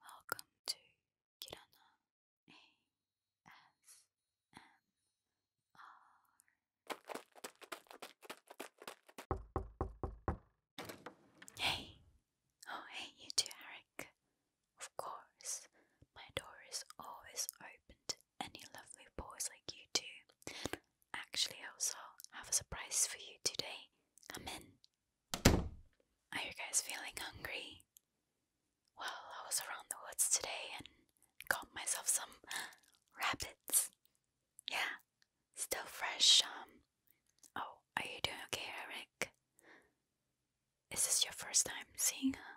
Welcome to Kirana ASMR. Hey! Oh, hey, you too, Eric. Of course, my door is always open to any lovely boys like you two. Actually, I also have a surprise for you today. Come in. Are you guys feeling hungry? Well, I was around the woods today and got myself some rabbits. Yeah, still fresh. Um, oh, are you doing okay, Eric? Is this your first time seeing her?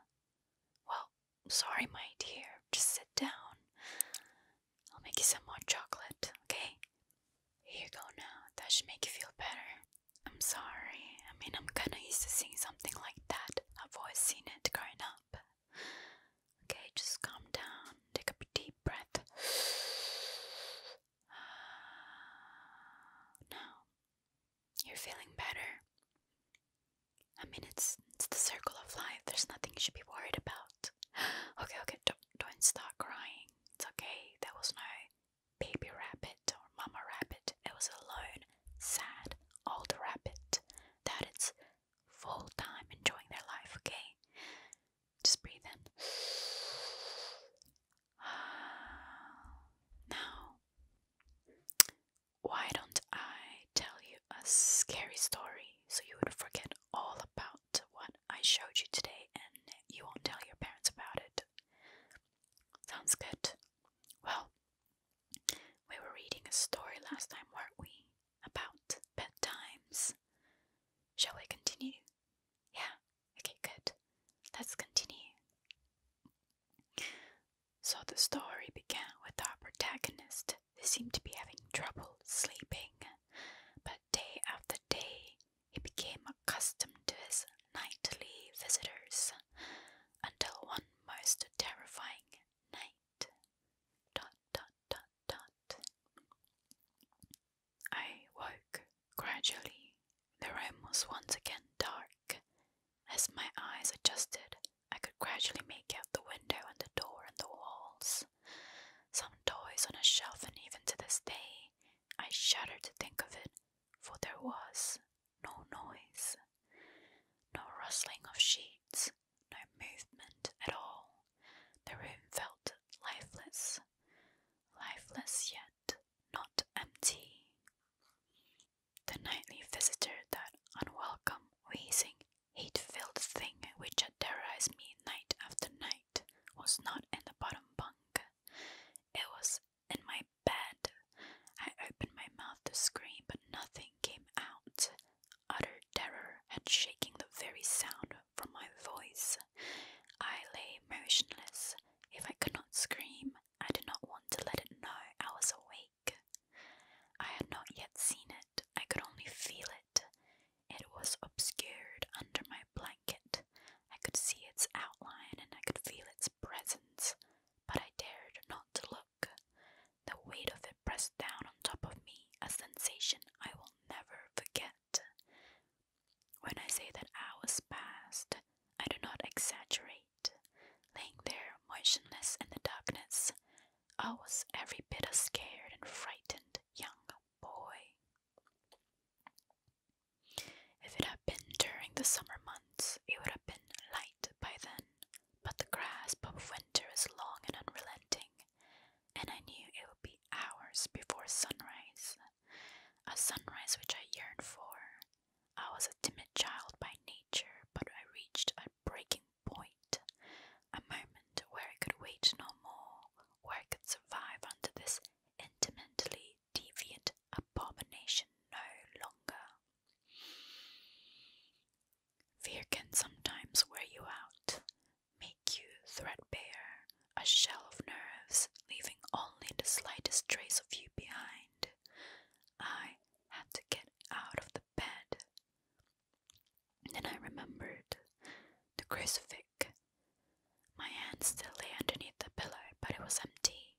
Well, sorry, my dear. Just sit down. I'll make you some hot chocolate, okay? Here you go now. That should make you feel better. I'm sorry. I mean, I'm kinda used to seeing something like that. I've always seen it growing up. Okay, just calm down. Take a deep breath. Uh, now, you're feeling better. I mean, it's it's the circle of life. There's nothing you should be worried about. Okay, okay, don't don't start crying. It's okay. There was no baby rabbit or mama rabbit. It was a lone, sad, old rabbit that it's full time enjoying their life, okay? Just breathe in. Now, why don't I tell you a scary story so you would forget all about what I showed you today and you won't tell your parents about it? Sounds good. Well, we were reading a story last time, weren't we? About bedtimes. Shall we continue? Yeah, okay, good. Let's continue. So the story began with our protagonist who seemed to be having trouble sleeping, but day after day he became accustomed to his nightly visitors until one most terrifying night. Dot, dot, dot, dot. I woke gradually. The room was once again dark. As my eyes adjusted, I could gradually make out the window and the door and the walls. Some toys on a shelf, and even to this day, I shudder to think of it, for there was no noise, no rustling of sheets, no movement at all. The room felt lifeless, lifeless yet not empty. The nightly visitor, that unwelcome, wheezing, hate filled thing which had terrorized me night after night, was not in the bottom bunk. It was in my bed. I opened my mouth to scream, but nothing came out. Utter terror had shaking the very sound from my voice. I lay motionless. If I could not scream, I did not want to let it know I was awake. I had not yet seen it, I could only feel it. It was obscured under my blanket. I could see its outline and I could feel its presence, but I dared not look. The weight of it pressed down on top of me, a sensation I will never forget. When I say that hours passed, I do not exaggerate. Laying there, motionless in the darkness, I was every bit a scared and frightened young boy. If it had been during the summer months, it would have been light by then, but the grasp of winter is long and unrelenting, and I knew it would be hours before sunrise, a sunrise which I yearned for. I was a timid child by nature, but I reached a breaking point, a moment where I could wait no more, where I could survive under this intimately deviant abomination no longer. Fear can sometimes wear you out, make you threadbare, a shell of nerves, leaving only the slightest trace of you behind. I had to get out of the bed. Then I remembered the crucifix. My hand still lay underneath the pillow, but it was empty.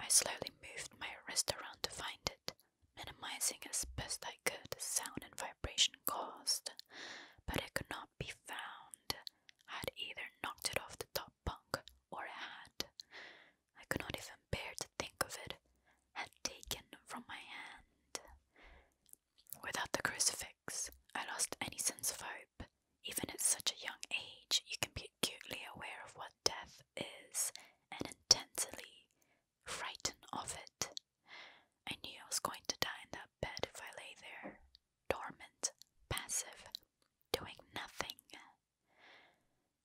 I slowly moved my wrist around to find it, minimizing as best I could the sound and vibration caused, but it could not be found. I had either knocked it off the top bunk or had, I could not even bear to think of it, had taken from my hand. Without the crucifix, I lost any sense of hope even at such a young age, you can be acutely aware of what death is and intensely frightened of it. I knew I was going to die in that bed if I lay there, dormant, passive, doing nothing.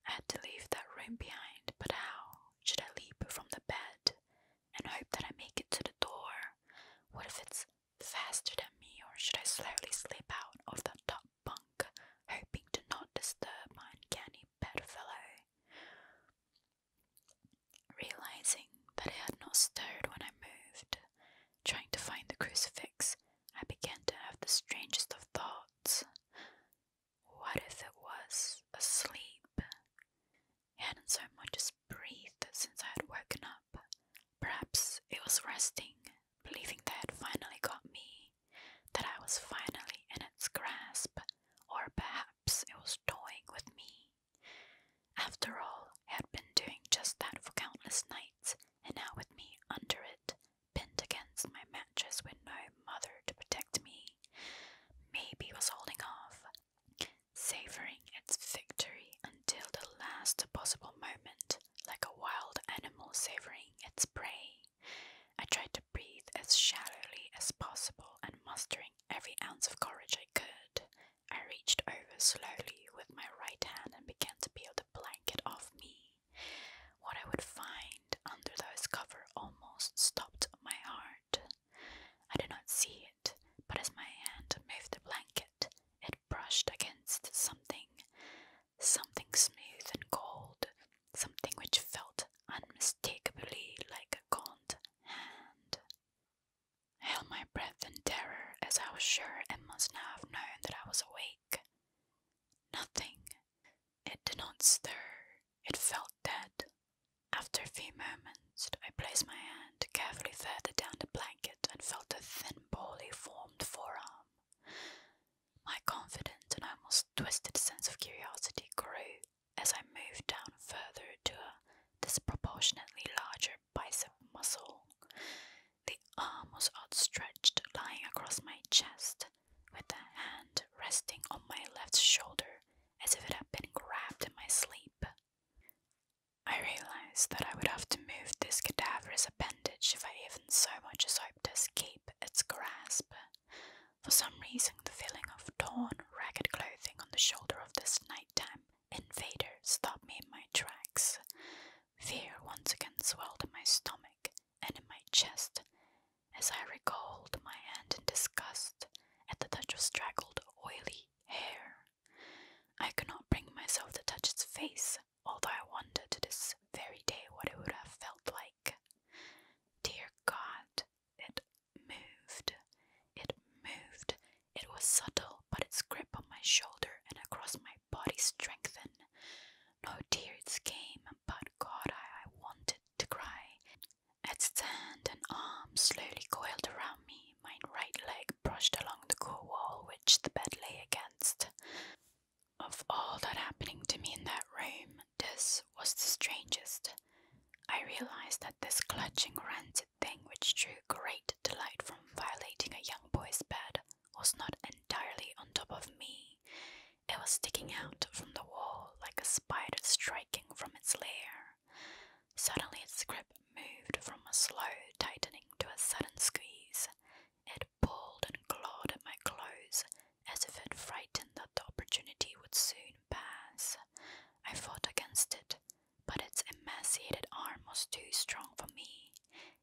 I had to leave that room behind, but how? Should I leap from the bed and hope that I make it to the door? What if it's faster than me, or should I slowly slip out of the top bunk, hoping to not disturb my uncanny bedfellow. Realizing that it had not stirred when I moved, trying to find the crucifix, I began to have the strangest of thoughts. What if it was asleep? It hadn't so much as breathed since I had woken up. Perhaps it was resting, believing that had finally got me, that I was finally in its grasp, or perhaps it was toying with me. After all, it had been doing just that for countless nights, and now with me under it, pinned against my mattress with no mother to protect me. Maybe it was holding off, savouring its victory until the last possible moment like a wild animal savoring its prey. I tried to breathe as shallowly as possible and mustering every ounce of courage I could. I reached over slowly with my right hand and began to peel the blanket off me. What I would find under those cover almost stopped my heart. I did not see it, but as my hand moved the blanket, it brushed against something something smooth and cold, something which felt unmistakably like a gaunt hand. I held my breath in terror as I was sure it must now have known that I was awake. Nothing. It did not stir. It felt dead. After a few moments, I placed my hand carefully further down the blanket and felt a thin, poorly formed forearm. My confident and almost twisted sense of curiosity grew as I moved down further to a disproportionately larger bicep muscle. The arm was outstretched, lying across my chest, with the hand resting on my left shoulder as if it had been grabbed in my sleep. I realized that I would have to move this cadaverous appendage if I so much as hoped to escape its grasp. For some reason, the feeling of torn, ragged clothing on the shoulder of this nighttime invader stopped me in my tracks. Fear once again swelled in my stomach and in my chest as I recoiled my hand in disgust at the touch of straggled, oily hair. I could not bring myself to touch its face, although I wonder to this very day what it would have felt like. Dear God, it moved. It moved. It was subtle, but its grip on my shoulder and across my body strengthened. No tears came, but God, I, wanted to cry. Its hand and arm slowly coiled around me. My right leg brushed along the cool wall which the bed lay against. Of all that happening to me in that room, this was the strangest. I realized that this clutching, rancid thing which drew great delight from violating a young boy's bed was not entirely on top of me. It was sticking out from the wall like a spider striking from its lair. Suddenly its grip moved from a slow tightening to a sudden squeeze. It pulled and clawed at my clothes as if it frightened that the opportunity would soon pass. I fought against it, but its emaciated arm was too strong for me.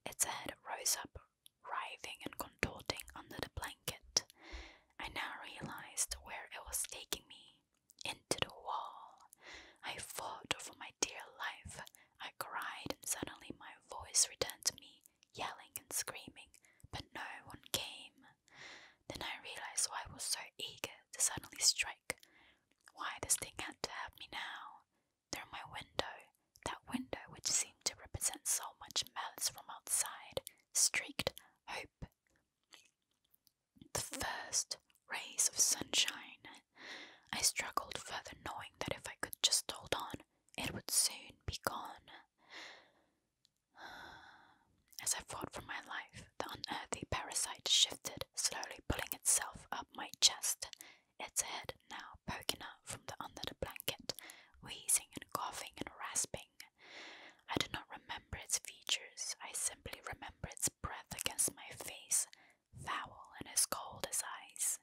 Its head rose up, writhing and contorting under the blanket. I now realized where it was taking me into the wall. I fought for my dear life. I cried, and suddenly my voice returned to me yelling and screaming, but no one came. Then I realized why I was so eager to suddenly strike, why this thing had to have me now. Through my window, that window which seemed to represent so much malice from outside, streaked hope. The first rays of sunshine. I struggled further, knowing that if I could just hold on, it would soon be gone. As I fought for my life, the unearthly parasite shifted, slowly pulling itself up my chest, its head now poking out from under the blanket, wheezing and coughing and rasping. I do not remember its features, I simply remember its breath against my face, foul and as cold as ice.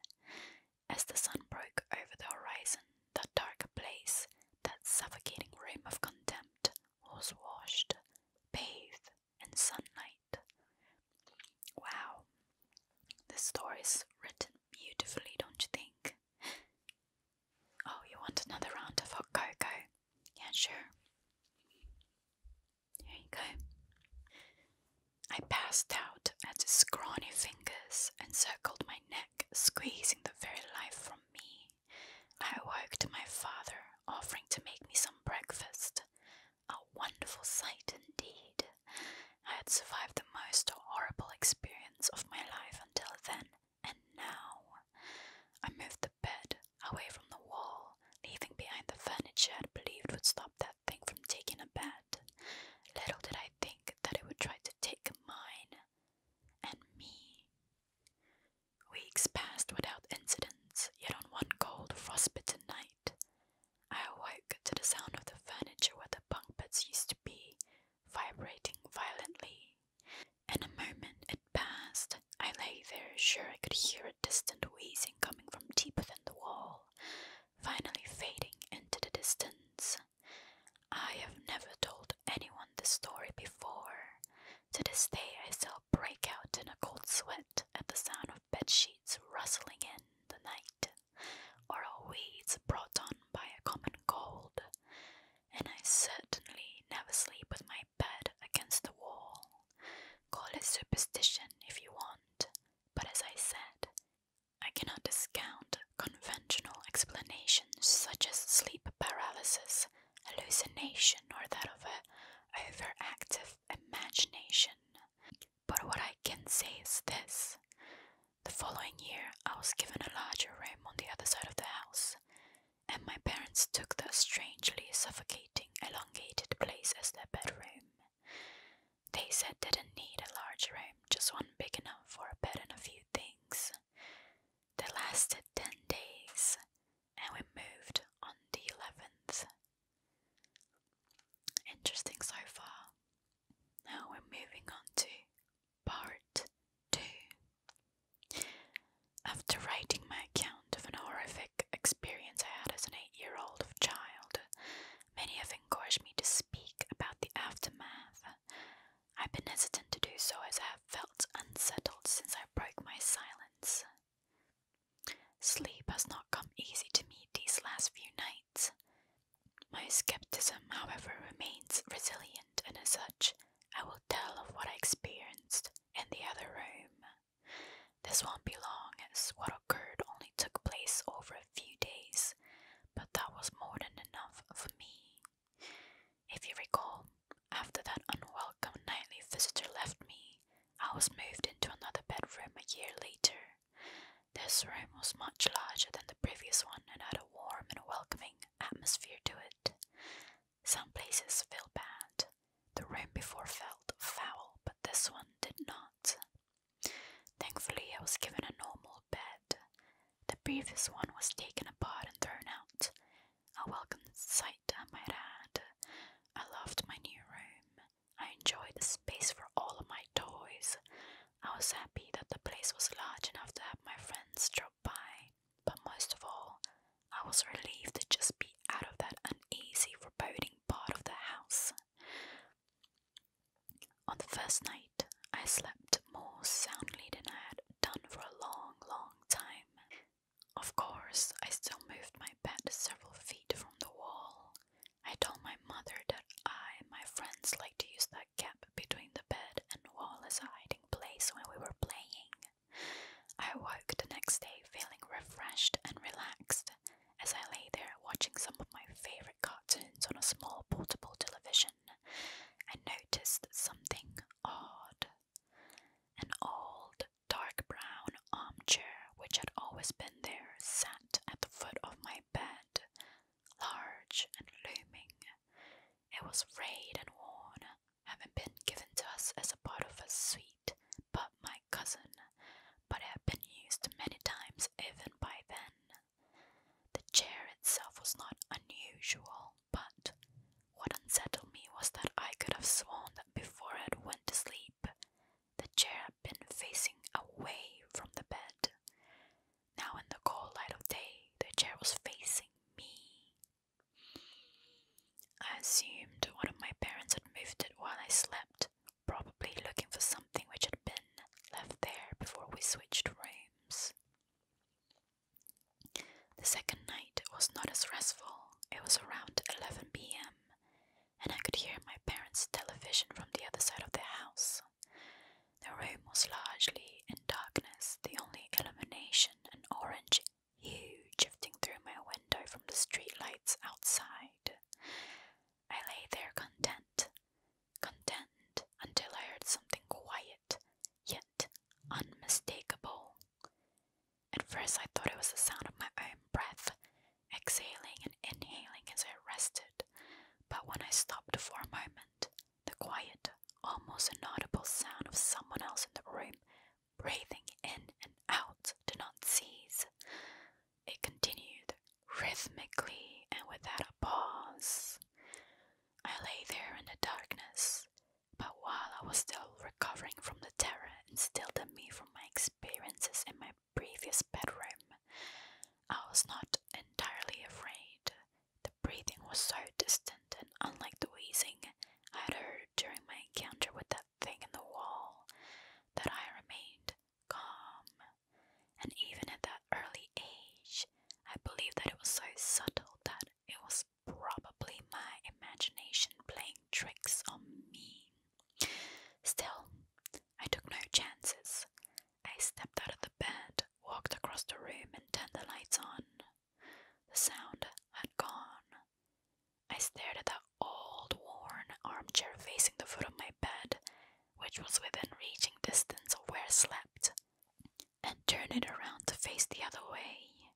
As the sun broke over the horizon, that dark place, that suffocating rim of contempt, was washed, bathed in sunlight. Wow, the is written beautifully, don't you think? Oh, you want another round of hot cocoa? Yeah, sure. Here you go. I passed out at his scrawny fingers and circled my neck, squeezing the very life from me. I awoke to my father offering to make me some breakfast. A wonderful sight indeed. I had survived the most horrible experience of my life until then, and now. I moved the bed away from the wall, leaving behind the furniture i believed would stop that thing from taking a bed. Little did I I think that it would try to take mine and me. Weeks passed without incidents, yet on one cold, frostbitten night, I awoke to the sound of the furniture where the bunk beds used to be vibrating violently. In a moment it passed. I lay there, sure I could hear a distant wheezing coming from deep within the wall, finally fading into the distance. I have never told anyone this story before. To this day, I still break out in a cold sweat at the sound of bed sheets rustling in the night, or weeds brought on by a common cold, and I certainly never sleep with my bed against the wall. Call it superstition if you want, but as I said, I cannot discount conventional explanations such as sleep paralysis, hallucination, or that of an overactive imagination. But what I can say is this. The following year, I was given a larger room on the other side of the house, and my parents took the strangely suffocating, elongated place as their bedroom. They said they didn't need a large room, just one big enough for a bed and a few things. They lasted 10 days and we moved on the 11th. Interesting so far. Now we're moving on to part 2. After writing my account of an horrific experience I had as an 8 year old child, many have encouraged me to speak about the aftermath. I've been hesitant to do so as I have felt unsettled since I broke my silence. Sleep has not come easy to me these last few nights. My skepticism, however, remains resilient, and as such, I will tell of what I experienced in the other room. This won't be long, as what occurred only took place over few days, but that was more than enough for me. If you recall, after that unwelcome nightly visitor left me, I was moved into another bedroom a year later. This room was much larger than the previous one and had a warm and welcoming atmosphere to it. Some places feel bad. The room before felt foul, but this one did not. Thankfully, I was given a normal bed. The previous one was taken apart and thrown out. A welcome sight, I might add. I loved my new room. I enjoyed the space for all of my toys. I was happy that the place was large enough to have my friends drop by. But most of all, I was relieved to just be out of that uneasy, foreboding part of the house. On the first night, I slept more soundly than I had done for a long, long time. Of course, I still moved my bed several feet from the wall. I told my mother that I and my friends liked to use that gap between the bed and wall as a hiding place when we were playing. I woke the next day feeling refreshed and relaxed as I lay there watching some of my favorite cartoons on a small portable television I noticed something odd. An old, dark brown armchair, which had always been there, sat at the foot of my bed, large and looming. It was frayed and worn, having been given to us as a part of a suite but my cousin, but it had been used many times even by then. The chair itself was not unusual, but what unsettled me was that I could have sworn that before I went to sleep, the chair had been facing away from the bed. Now, in the cold light of day, the chair was facing me. I assumed one of my parents had moved it while I slept, probably looking for something which had been left there before we switched rooms. The second night was not as restful. It was around 11 pm, and I could hear my parents' television from the other side of the house. The room was largely in darkness, the only illumination an orange hue drifting through my window from the street lights outside. I lay there content, content until I heard something quiet yet unmistakable. At first, I thought it was the sound of my own breath exhaling and inhaling as I rested, but when I stopped for a moment, the quiet, almost inaudible sound of someone else in the room breathing in and out did not cease. It continued rhythmically and without a pause. I lay there in the darkness, but while I was still recovering from the terror instilled in me from my experiences in my previous bedroom, I was not entirely afraid. The breathing was so distant and unlike the wheezing I had heard during my encounter with that thing in the wall that I remained calm. And even at that early age, I believe that it was so subtle that it was probably my imagination playing tricks on me. Still, I took no chances. I stepped out of the bed, walked across the room, and turned the lights on. The sound had gone. I stared at the old, worn armchair facing the foot of my bed which was within reaching distance of where I slept, and turn it around to face the other way.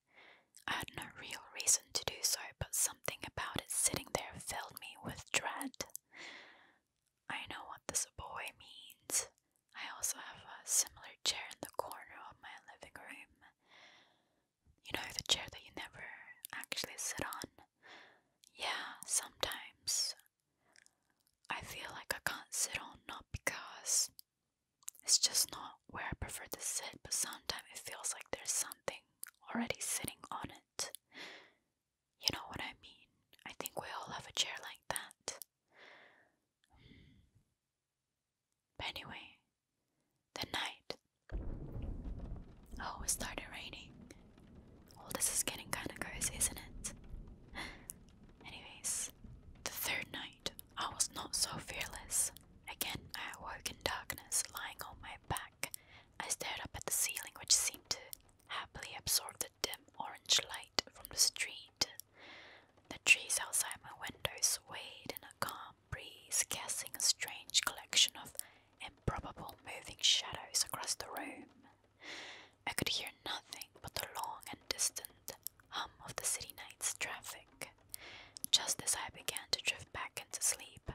I had no real reason to do so, but something about it sitting there filled me with dread. I know what this boy means. I also have a similar chair in the corner of my living room. You know, the chair that you never actually sit on? Yeah, sometimes I feel like I can't sit on, not because it's just not where I prefer to sit, but sometimes it feels like there's something already sitting on it. You know what I mean? I think we all have a chair like that. anyway, the night. Oh, it started raining. Well, this is getting kind of crazy, isn't it? Anyways, the third night, I was not so fearless. Again, I awoke in darkness, lying on my back. I stared up at the ceiling, which seemed to happily absorb the dim orange light from the street. The trees outside my window swayed in a calm breeze, casting a strange collection of improbable moving shadows across the room. I could hear nothing but the long and distant hum of the city night's traffic. Just as I began to drift back into sleep,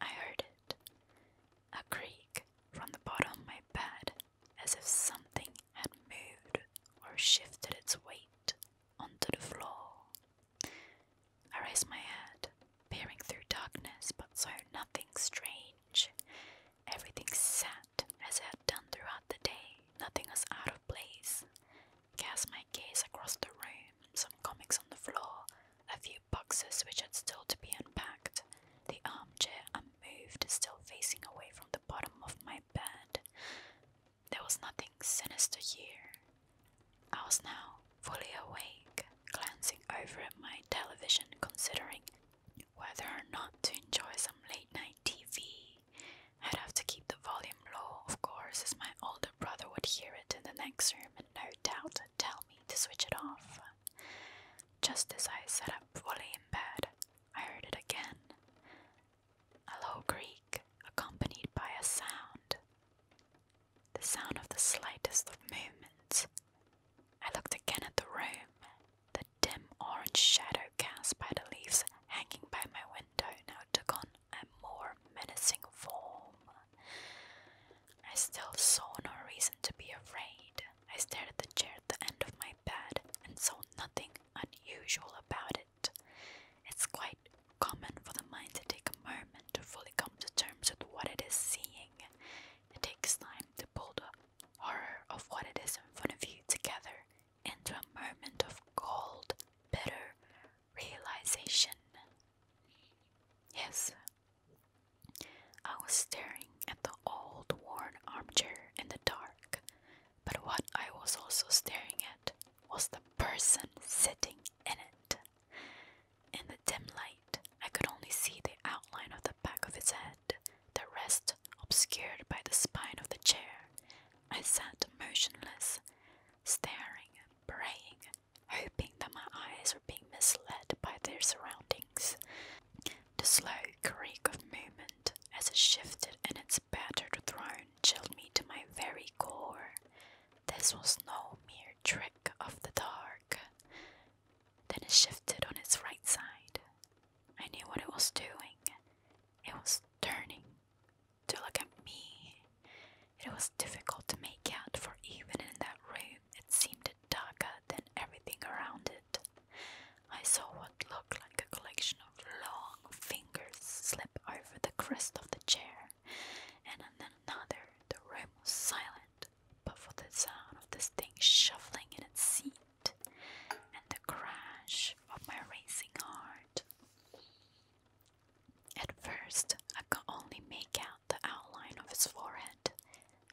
I heard it a creak from the bottom of my bed, as if something had moved or shifted its weight onto the floor. I raised my head, peering through darkness, but saw nothing strange. Everything sat as it had done throughout the day, nothing was out of place. Cast my gaze across the room, some comics on the floor, a few boxes which had still to be unpacked, the armchair unmoved, still facing away from the bottom of my bed. There was nothing sinister here. I was now fully awake, glancing over at my television, considering whether or not to enjoy some late night TV, I'd have to keep the volume low, of course, as my older brother would hear it in the next room and no doubt tell me to switch it off. Just as I sat up fully in bed, I heard it again a low Greek, accompanied by a sound. The sound of the slightest of movements. I looked again at the room the dim orange shadow cast by the leaves hanging by my window now took on a more menacing form. I still saw no reason to be afraid. I stared at the chair at the end of my bed and saw nothing unusual about it. It's quite common for the mind to take a moment to fully come to terms with what it is seeing. It takes time to build up horror of what it is in front of you together into a moment of cold, bitter realization. Yes, I was staring at the old worn armchair in the dark, but what I was also staring at was the person sitting in it. In the dim light, I could only see the outline of the back of his head, the rest obscured by the spine of the chair. I sat motionless, staring, praying, hoping that my eyes were being misled by their surroundings. The slow creak of movement as it shifted in its battered throne chilled me to my very core. This was no mere trick of the dark. Then it shifted on its right side. I knew what it was doing. It was turning to look at me. It was difficult to make out, for even in that room, it seemed darker than everything around it. I saw what looked like a collection of long fingers slip over the crest of the chair, and then another, the room was silent but for the sound of this thing shuffling in its seat and the crash of my racing heart. At first, I could only make out the outline of his forehead,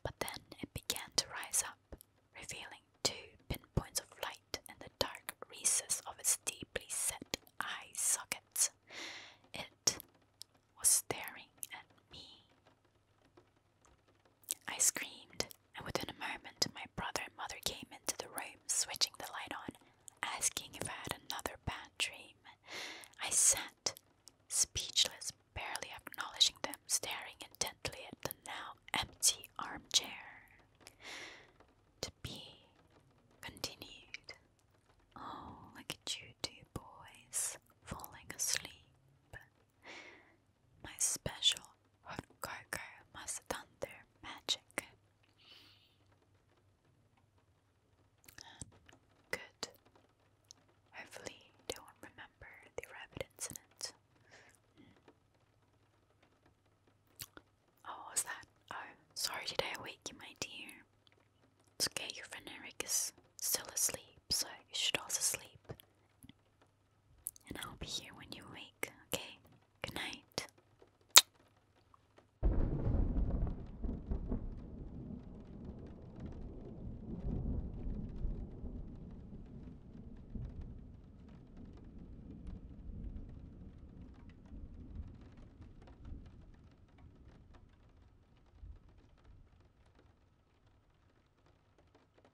but then it began to rise up, revealing two pinpoints of light in the dark recess of his deeply set eye sockets. It was staring at me. I screamed, and within a moment my brother and mother came into the room, switching the light on, asking if I had another bad dream. I sat, speechless, barely acknowledging them, staring intently at the now empty armchair. To be continued. Oh, look at you two boys, falling asleep my special hot cocoa must done their magic. Good. Hopefully, they won't remember the rabbit incident. Mm. Oh, was that? Oh, sorry, did I awake you, my dear? okay, your friend Eric is still asleep, so you should also sleep. And I'll be here when you wake, okay? Good night.